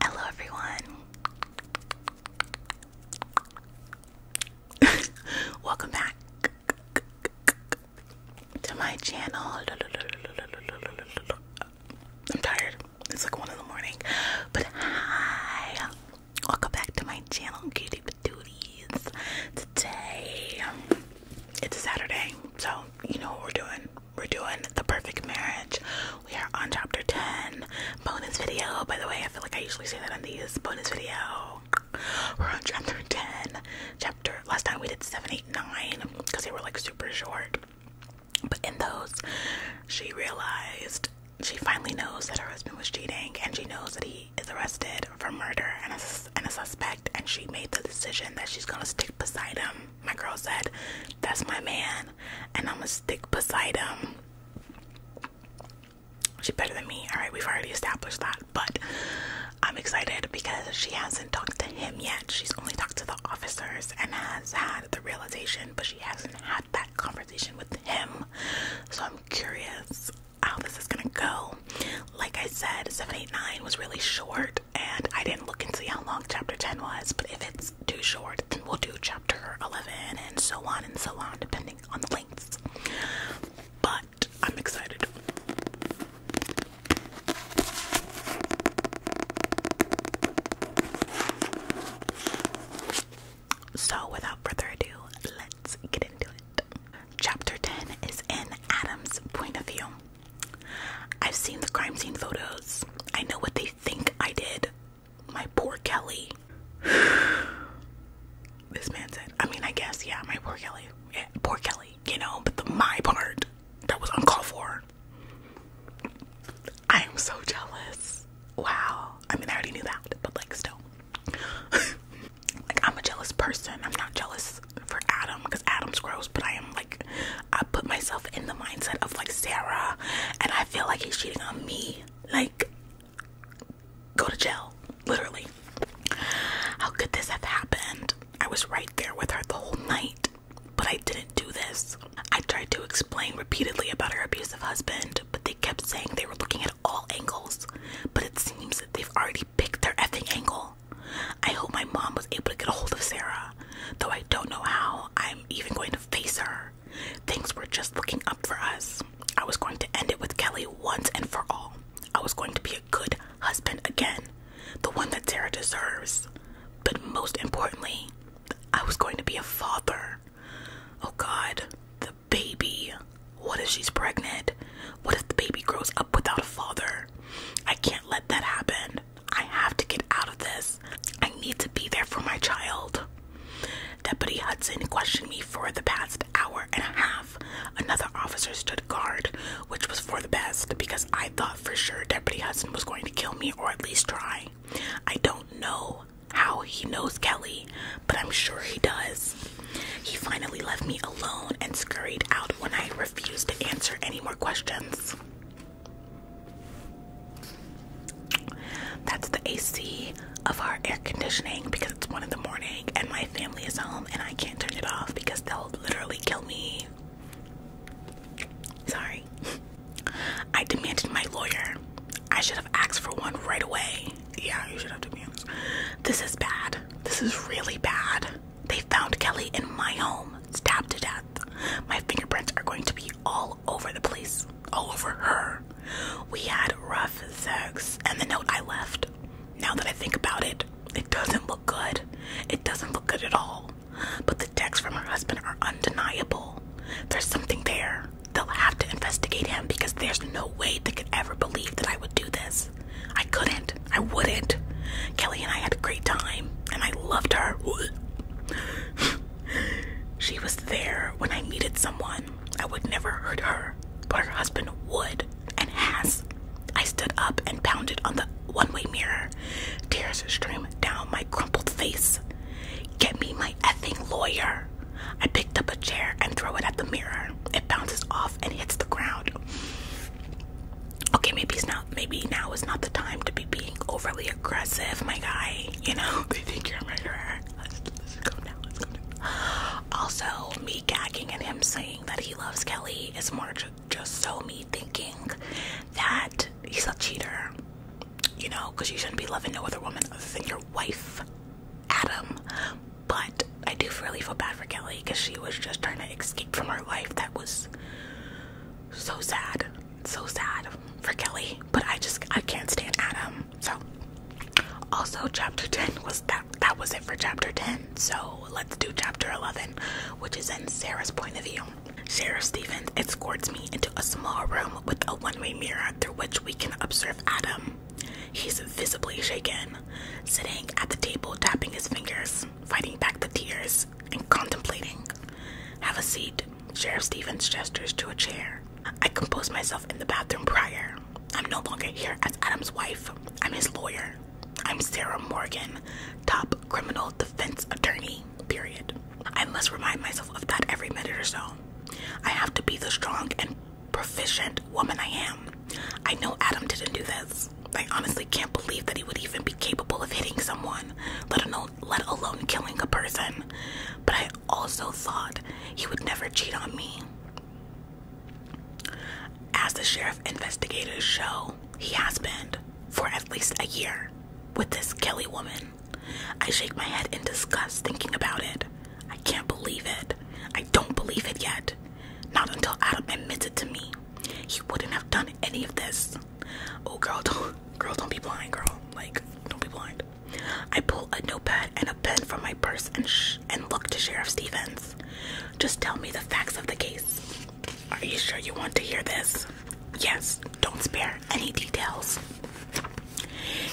Hello, everyone. Welcome back to my channel. I'm tired. It's like one in the morning. But hi. Welcome back to my channel, Cutie Patooties. Today, it's Saturday, so you know what we're doing we're doing the perfect marriage. We are on chapter 10, bonus video. By the way, I feel like I usually say that on these bonus video. We're on chapter 10. Chapter last time we did 7, 8, 9 because they were like super short. But in those, she realized she finally knows that her husband was cheating and she knows that he is arrested for murder and a, and a suspect. And she made the decision that she's gonna stick beside him my girl said, That's my man, and I'm gonna stick beside him. She's better than me. All right, we've already established that, but I'm excited because she hasn't talked to him yet. She's only talked to the officers and has had the realization, but she hasn't had that conversation with him. So I'm curious how this is gonna go. Like I said, 789 was really short, and I didn't look and see how long chapter 10 was, but if it's too short, then we'll do chapter 11 and so on and so on, depending on the lengths. But I'm excited. So, without further ado, let's get into it. Chapter 10 is in Adam's point of view. I've seen the crime scene photos. I know what they think I did. My poor Kelly. this man said, I mean, I guess, yeah, my poor Kelly. poor Kelly, you know, but the my part, that was uncalled for. I am so jealous. Wow. I mean, I already knew that, but like, still. like, I'm a jealous person. I'm not jealous for Adam because Adam's gross, but I am like I put myself in the mindset of like Sarah and I feel like he's cheating on me. Like, go to jail, literally. How could this have happened? I was right there with her the whole night, but I didn't do this. I tried to explain repeatedly about her abusive husband, but they kept saying they were looking at all angles. But it seems that they've already pick their effing angle. I hope my mom was able to get a hold of Sarah, though I don't know how I'm even going to face her. Things were just looking up for us. I was going to end it with Kelly once and for all. I was going to be a good husband again, the one that Sarah deserves. But most importantly, I was going to be a father. Oh god, the baby. What if she's pregnant? What if the baby grows up without a father? I can't let that happen. I have to get out of this. I need to be there for my child. Deputy Hudson questioned me for the past hour and a half. Another officer stood guard, which was for the best because I thought for sure Deputy Hudson was going to kill me or at least try. I don't know how he knows Kelly, but I'm sure he does. He finally left me alone and scurried out when I refuse to answer any more questions. That's the AC of our air conditioning because it's one in the morning and my family is home and I can't turn it off because they'll literally kill me. Sorry. I demanded my lawyer. I should have asked for one right away. Yeah, you should have to be honest. This is bad. This is really bad. They found Kelly in my home, stabbed to death. My fingerprints are going to be all over the place, all over her. We had rough sex, and the note I left. Now that I think about it, it doesn't look good. It doesn't look good at all. But the texts from her husband are undeniable. There's something there. They'll have to investigate him because there's no way they could ever believe that I would do this. I couldn't. I wouldn't. Kelly and I had a great time, and I loved her. she was there when I needed someone. I would never hurt her, but her husband would and has. I stood up and pounded on the one way mirror. Tears stream down my crumpled face. Get me my effing lawyer. I picked up a chair and threw it at the mirror. It bounces off and hits the ground okay, maybe it's not, maybe now is not the time to be being overly aggressive, my guy. You know, they think you're a murderer. Also, me gagging and him saying that he loves Kelly is more just so me thinking that he's a cheater. You know, because you shouldn't be loving no other woman other than your wife, Adam. But I do really feel bad for Kelly because she was just trying escape from her life that was so sad, so sad for Kelly. But I just I can't stand Adam. So also chapter 10 was that that was it for chapter 10. So let's do chapter 11, which is in Sarah's point of view. Sheriff Stevens escorts me into a small room with a one-way mirror through which we can observe Adam. He's visibly shaken, sitting at the table tapping his fingers fighting back the tears and contemplating. Have a seat, Sheriff Stevens gestures to a chair. I composed myself in the bathroom prior. I'm no longer here as Adam's wife. I'm his lawyer. I'm Sarah Morgan, top criminal defense attorney, period. I must remind myself of that every minute or so. I have to be the strong and proficient woman I am. I know Adam didn't do this. I honestly can't believe that he would even be capable of hitting someone, let alone, let alone killing a person. But I also thought he would never cheat on me. As the sheriff investigators show, he has been for at least a year with this Kelly woman. I shake my head in disgust thinking about it. I can't believe it. I don't believe it yet. Not until Adam admits it to me. He wouldn't have done any of this. Oh girl, don't girl, don't be blind, girl. Like, don't be blind. I pull a notepad and a pen from my purse and sh and look to Sheriff Stevens. Just tell me the facts of the case. Are you sure you want to hear this? Yes, don't spare any details.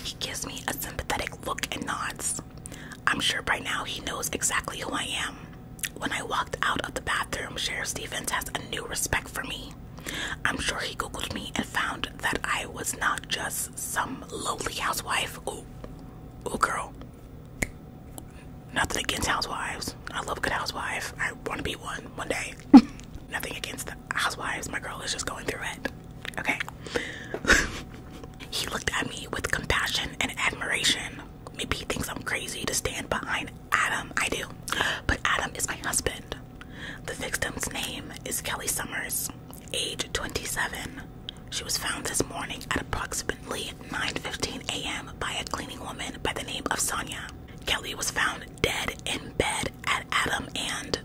He gives me a sympathetic look and nods. I'm sure by now he knows exactly who I am. When I walked out of the bathroom, Sheriff Stevens has a new respect for me. I'm sure he Googled me and found that I was not just some lowly housewife. Oh, ooh, girl. Nothing against housewives. I love good housewife. I want to be one one day. Nothing against housewives. My girl is just going through it. Okay. he looked at me with compassion and admiration maybe he thinks I'm crazy to stand behind Adam. I do. But Adam is my husband. The victim's name is Kelly Summers, age 27. She was found this morning at approximately 9:15 a.m. by a cleaning woman by the name of Sonia. Kelly was found dead in bed at Adam and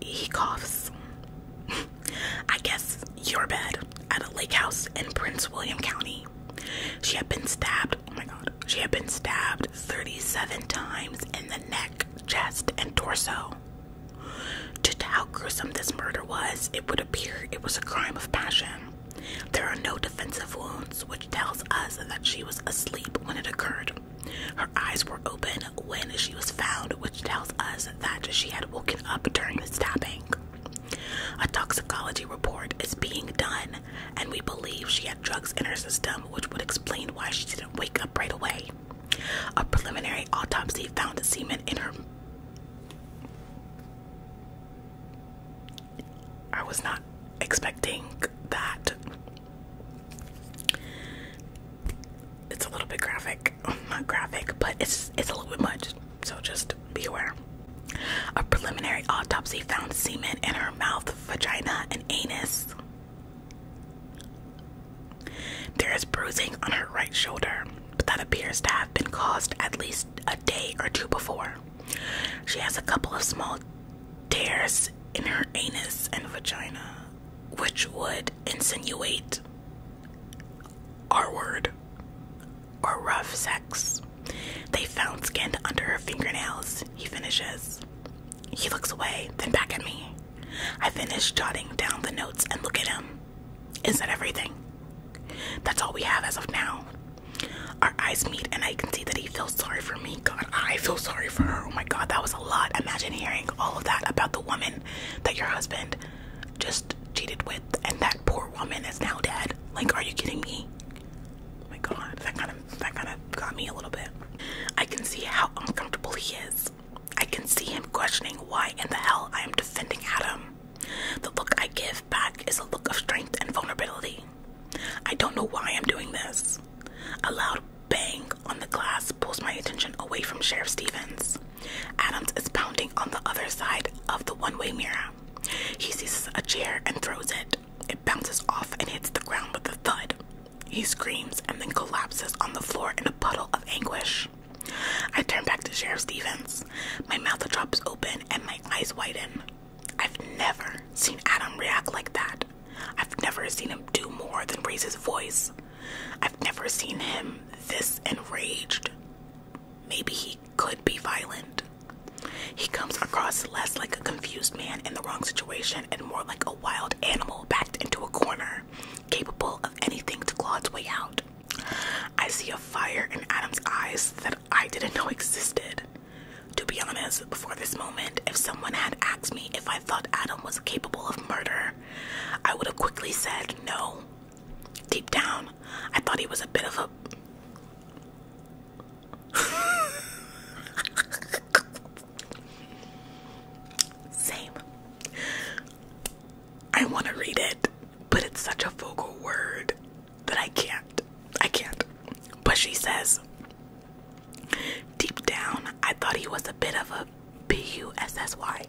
he coughs. I guess your bed at a lake house in Prince William County. She had been stabbed, oh my god, she had been stabbed 37 times in the neck, chest, and torso. Just how gruesome this murder was, it would appear it was a crime of passion. There are no defensive wounds, which tells us that she was asleep when it occurred. Her eyes were open when she was found, which tells us that she had woken up during the stabbing. A toxicology report is being done, and we believe she had drugs in her system, which would explain why she didn't wake up right away. A preliminary autopsy found semen in her. I was not expecting that. It's a little bit graphic, not graphic, but it's it's a little bit much so just be aware. A preliminary autopsy found semen in her mouth, vagina, and anus. There is bruising on her right shoulder, but that appears to have been caused at least a day or two before. She has a couple of small tears in her anus and vagina, which would insinuate our word or rough sex. They found skin under her fingernails, he finishes. He looks away, then back at me. I finish jotting down the notes and look at him. Is that everything? That's all we have as of now. Our eyes meet, and I can see that he feels sorry for me. God, I feel sorry for her. Oh my god, that was a lot. Imagine hearing all of that about the woman that your husband just cheated with, and that poor woman is now dead. Like, are you kidding me? Oh my god, that kind of that kind of got me a little bit. I can see how uncomfortable he is. I can see him questioning why in the hell I am defending Adam. The look I give back is a look of strength and vulnerability. I don't know why I'm doing this. A loud bang on the glass pulls my attention away from Sheriff Stevens. Adams is pounding on the other side of the one way mirror. He seizes a chair and throws it. It bounces off and hits the ground with a thud. He screams and then collapses on the floor in a puddle of anguish. I turn back to Sheriff Stevens. My mouth drops open and my eyes widen. I've never seen Adam react like that. I've never seen him do more than raise his voice. I've never seen him this enraged maybe he could be violent. He comes across less like a confused man in the wrong situation and more like a wild animal backed into a corner, capable of anything to claw its way out. I see a fire in Adam's eyes that I didn't know existed. To be honest, before this moment, if someone had asked me if I thought Adam was capable of murder, I would have quickly said no. Deep down, I thought he was a bit of a. Same. I want to read it, but it's such a vocal word that I can't. I can't. But she says, Deep down, I thought he was a bit of a B U S S Y.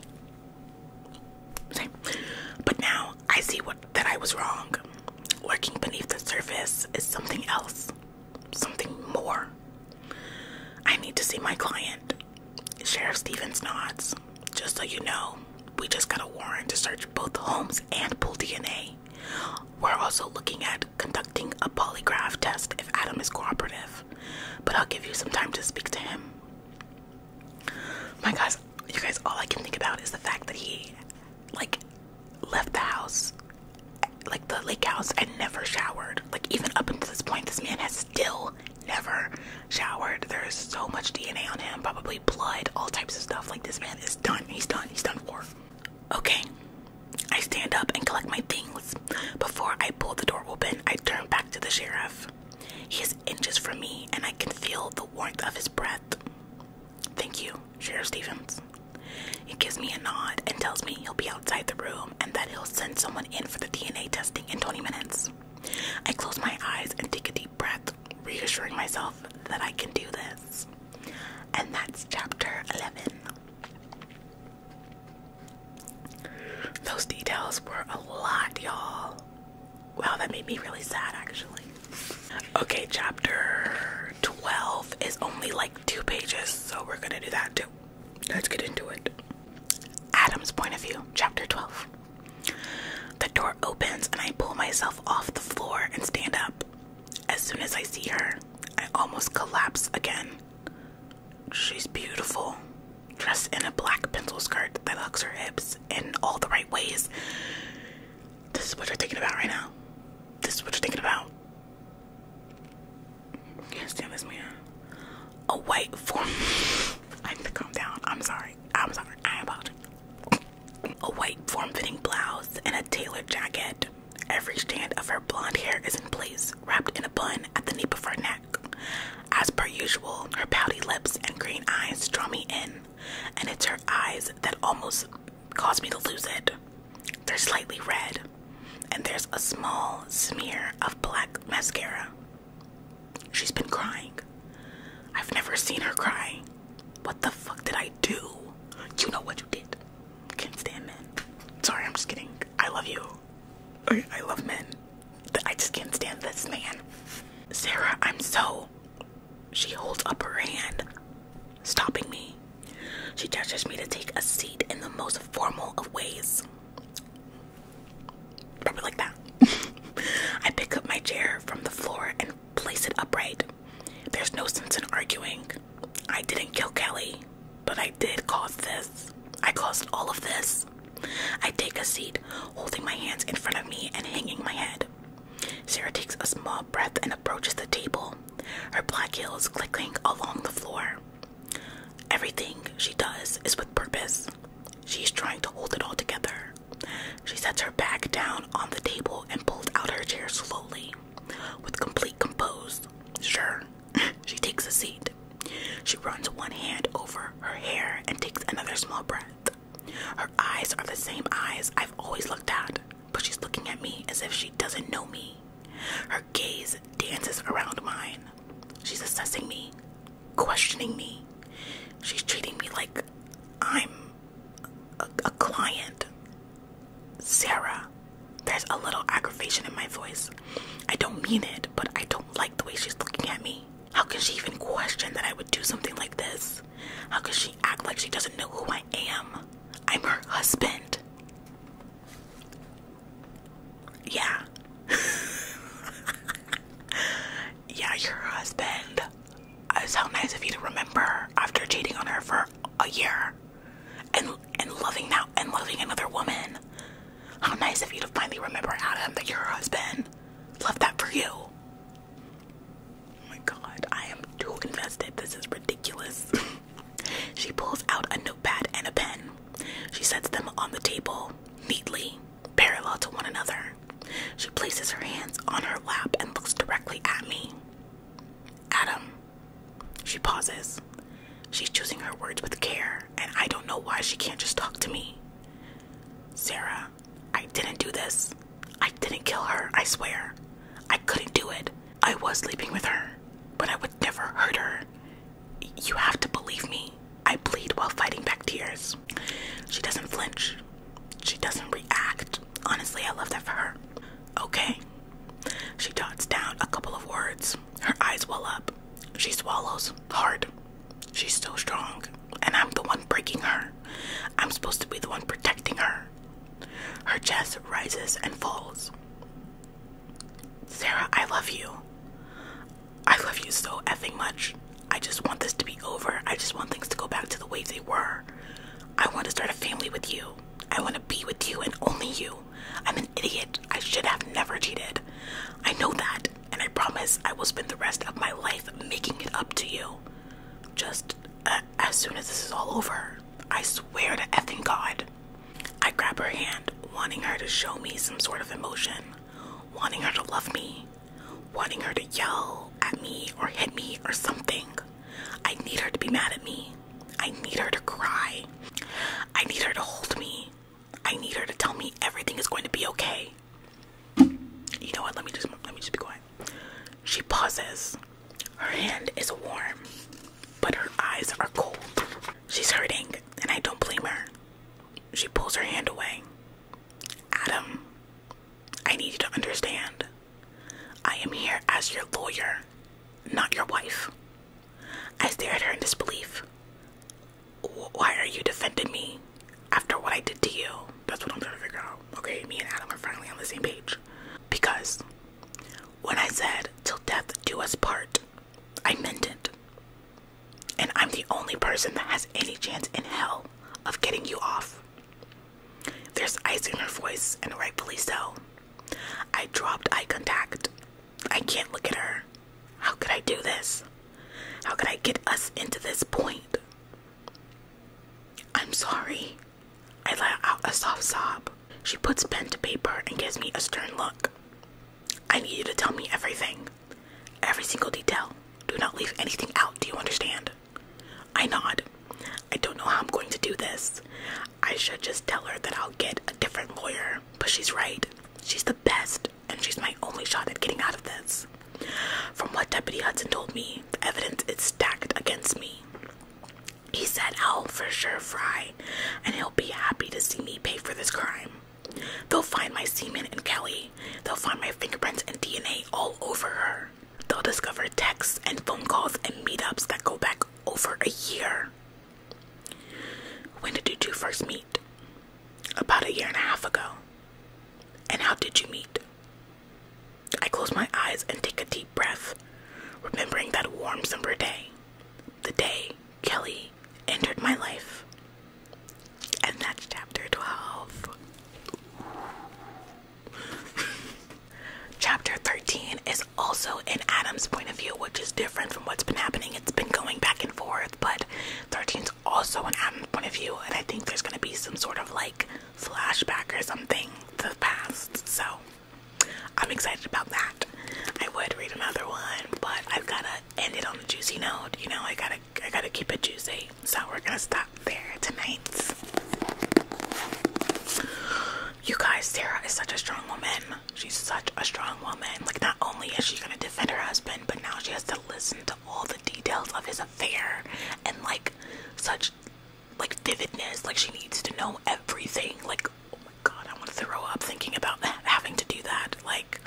But now I see what that I was wrong. Working beneath the surface is something else, something more. I need to see my client. Sheriff Stevens nods. Just so you know, we just got a warrant to search both homes and pool DNA. We're also looking at conducting a polygraph test if Adam is cooperative, but I'll give you some time to speak to him. My guys, you guys, all I can think about is the fact that he, like, left the house, like the lake house, and never showered. Like, even up until this point, this man has still never showered. There is so much DNA on him, probably blood, all types of stuff. Like, this man is done. He's done. He's done for. Okay, I stand up and collect my things. Before I pull the door open, I turn back to the sheriff. He inches from me, and I can feel the warmth of his breath. Thank you, Sheriff Stevens. He gives me a nod and tells me he'll be outside the room and that he'll send someone in for the DNA testing in 20 minutes. I close my eyes and take a deep breath, reassuring myself that I can do this. And that's chapter 11. Those details were a lot, y'all. Wow, that made me really sad actually. Okay, chapter 12 is only like two pages, so we're gonna do that too. Let's get into it. Adam's point of view, chapter 12. The door opens and I pull myself off the floor and stand up. As soon as I see her, I almost collapse again. She's beautiful, dressed in a black pencil skirt that hugs her hips in all the right ways. This is what you're thinking about right now. This is what you're thinking about. Can't stand this man. A white form. I need to calm down. I'm sorry. I'm sorry. I apologize. A white form-fitting blouse and a tailored jacket. Every strand of her blonde hair is in place, wrapped in a bun at the nape of her neck. As per usual, her pouty lips and green eyes draw me in, and it's her eyes that almost cause me to lose it. They're slightly red, and there's a small smear of black mascara. She's been crying. I've never seen her cry. What the fuck did I do? You know what you did. Can't stand men. Sorry, I'm just kidding. I love you. I, I love men. I just can't stand this man. Sarah, I'm so. She holds up her hand, stopping me. She gestures me to take a seat in the most formal of ways. Probably like that. I pick up my chair from the floor and place it upright. There's no sense in arguing. I didn't kill Kelly, but I did cause this. I caused all of this. I take a seat, holding my hands in front of me and hanging my head. Sarah takes a small breath and approaches the table, her black heels clicking along the floor. Everything she does is with purpose. She's trying to hold it all together. She sets her back down on the table and pulls out her chair slowly, with complete composure. Sure, she takes a seat. She runs one hand over her hair and takes another small breath. Her eyes are the same eyes I've always looked at, but she's looking at me as if she doesn't know me. Her gaze dances around mine. She's assessing me, questioning me. She's treating me like I'm a, client. Sarah, there's a little aggravation in my voice. I don't mean it, but I don't like the way she's looking at me. How can she even question that I would do something like this? How can she act like she doesn't know who I am? I'm her husband. Yeah. yeah, you husband. It's how nice of you to remember after cheating on her for a year and and loving now and loving another woman. How nice of you to finally remember Adam that you're her husband. Love that for you. Oh my god, I am too invested. This is ridiculous. she pulls out a notepad and a pen. She sets them on the table, neatly, parallel to one another. She places her hands on her lap and looks directly at me. Adam. She pauses. She's choosing her words with care, and I don't know why she can't just talk to me. Sarah. I didn't do this. I didn't kill her, I swear. I couldn't do it. I was sleeping with her, but I would never hurt her. You have to believe me. I bleed while fighting back tears. She doesn't flinch. She doesn't react. Honestly, I love that for her. Okay. She dots down a couple of words. Her eyes well up. She swallows hard. She's still strong, and I'm the one breaking her. I'm supposed to be the one protecting her. Her chest rises and falls. Sarah, I love you. I love you so effing much. I just want this to be over. I just want things to go back to the way they were. I want to start a family with you. I want to be with you and only you. I'm an idiot. I should have never cheated. I know that and I promise I will spend the rest of my life making it up to you. Just uh, as soon as this is all over, I swear to effing God. I grab her hand, wanting her to show me some sort of emotion, wanting her to love me, wanting her to yell at me or hit me or something. I need her to be mad at me. I need her to cry. I need her to hold me. I need her to tell me everything is going to be okay. You know what? Let me just let me just be quiet. She pauses. Her hand is warm, but her eyes are cold. She's hurting, and I don't blame her. She pulls her hand away. Adam, I need you to understand. I am here as your lawyer, not your wife. I stare at her in disbelief why are you defending me after what I did to you? That's what I'm trying to figure out. Okay, me and Adam are finally on the same page. Because when I said, till death do us part, I meant it. And I'm the only person that has any chance in hell of getting you off. There's ice in her voice, and rightfully so. I dropped eye contact. I can't look at her. How could I do this? How could I get us into this point? I'm sorry. I let out a soft sob. She puts pen to paper and gives me a stern look. I need you to tell me everything. Every single detail. Do not leave anything out, do you understand? I nod. I don't know how I'm going to do this. I should just tell her that I'll get a different lawyer, but she's right. She's the best and she's my only shot at getting out of this. From what Deputy Hudson told me, the evidence is stacked against me. He said I'll for sure fry, and he'll be happy to see me pay for this crime. They'll find my semen and Kelly. They'll find my fingerprints and DNA all over her. They'll discover texts and phone calls and meetups that go back over a year. When did you two first meet? About a year and a half ago. And how did you meet? I close my eyes and take a deep breath, remembering that warm summer day, the day Kelly entered my life. And that's chapter 12. chapter 13 is also in Adam's point of view, which is different from what's been happening. It's been going back and forth forth. But 13's also an Adam's point of view, and I think there's gonna be some sort of like flashback or something to the past. So I'm excited about that. I would read another one, but I've gotta end it on a juicy note. You know, I gotta I gotta keep it juicy. So we're gonna stop there tonight. You guys, Sarah is such a strong woman. She's such a strong woman. Like not only is she gonna defend her husband, but now she has to listen to all the details of his affair and like such like vividness. Like she needs to know everything. Like oh my god, I want to throw up thinking about having to do that. Like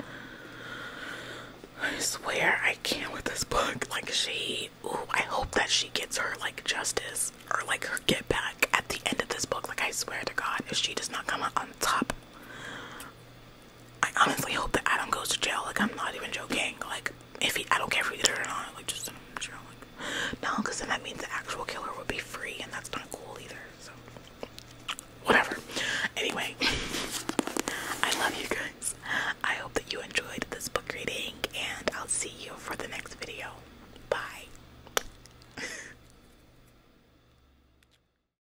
I swear I can't with this book. Like she, ooh, I hope that she gets her like justice or like her get back at the end of this book. Like I swear to God, if she does not come out on top, I honestly hope that Adam goes to jail. Like, I'm not even joking. Like, if he, I don't care if he did it or not. Like, just send him to no, because then that means the actual killer would be free, and that's not cool either. So, whatever. Anyway, I love you guys. I hope that you enjoyed this book reading, and I'll see you for the next video. Bye.